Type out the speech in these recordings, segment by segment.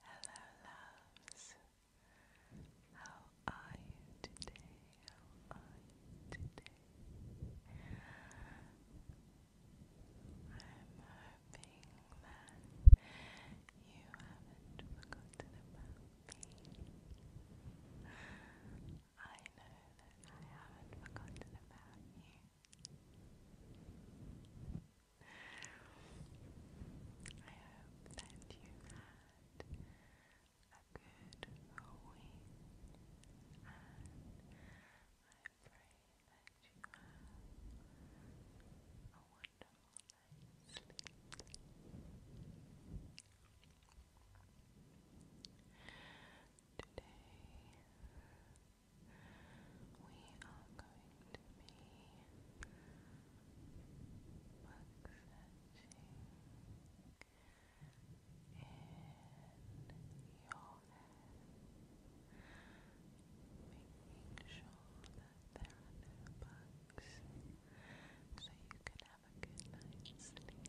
Hello, loves. How are you today? I'm hoping that you haven't forgotten about me. I know that I haven't forgotten about you. I hope that you had a good week, I pray that you have a wonderful night's sleep. Today we are going to be book in your head, making sure that there are no bugs so you can have a good night's sleep.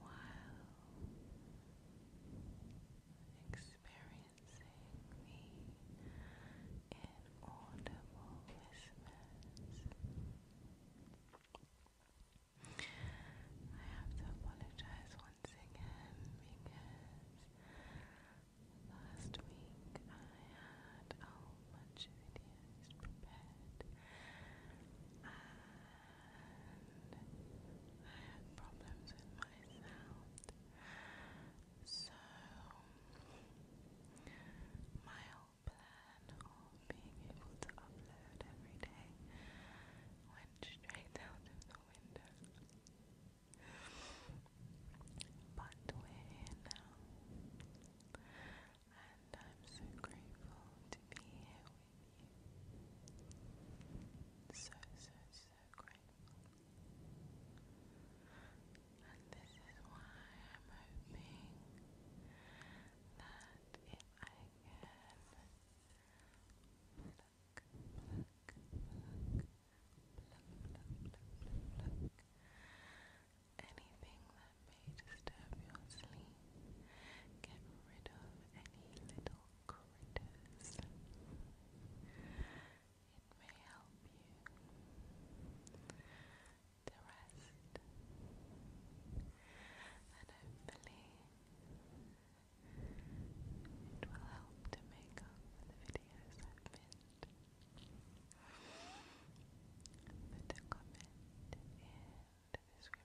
while experiencing the inaudible whispers. I have to apologize once again because last week I had a whole bunch prepared. I had problems with my sound. So, my whole plan of being able to upload every day went straight out the window. But we're here now, and I'm so grateful to be here so, so, so grateful. And this is why I'm hoping that if I can pluck, pluck, pluck, pluck, pluck, pluck, pluck, anything that may disturb your sleep. Get rid of any little critters. It may help you to rest and hopefully it will help to make up for the videos I've missed. But a comment in the description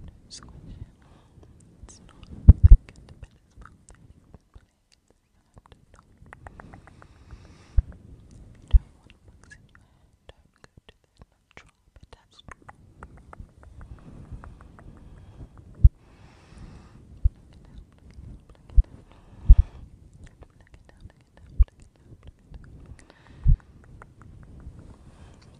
and squish it. It's not thick, but it's about 30 plates. If you don't want bugs in your hair, don't go to the natural bit as Pluck it down, pluck it down, pluck it down, pluck it down, pluck it down, pluck it down.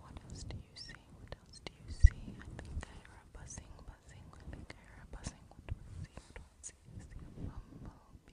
What else do you see? What else do you see? I think I hear a buzzing, buzzing. I think I hear a buzzing. What do I see? What do I see? I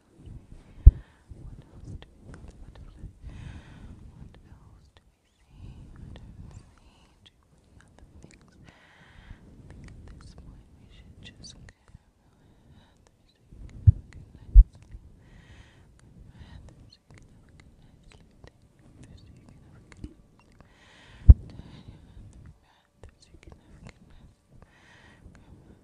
else do we call the butterfly? What else do we see? I don't see too many other things. I think at this point we should just go ahead and have a good night's sleep. Go ahead and have a good night's sleep. Take so you can have a good night's sleep. Turn your hand so you can have a good night's sleep. Go ahead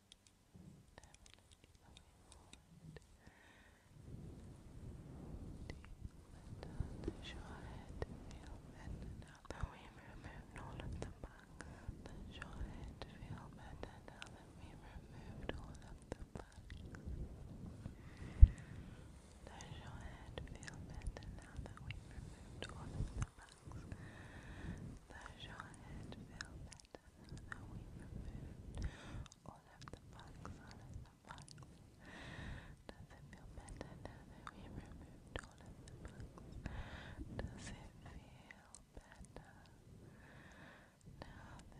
down the shorehead film and now that we removed all of the bugs the shorehead film and now that we removed all of the bugs the shorehead film and now that we removed all of the bugs the shorehead film side. So we removed all of the bugs, all of the bugs. Does it feel better now that we removed all of the bugs? Does it feel better now that we removed all of the bugs? Good.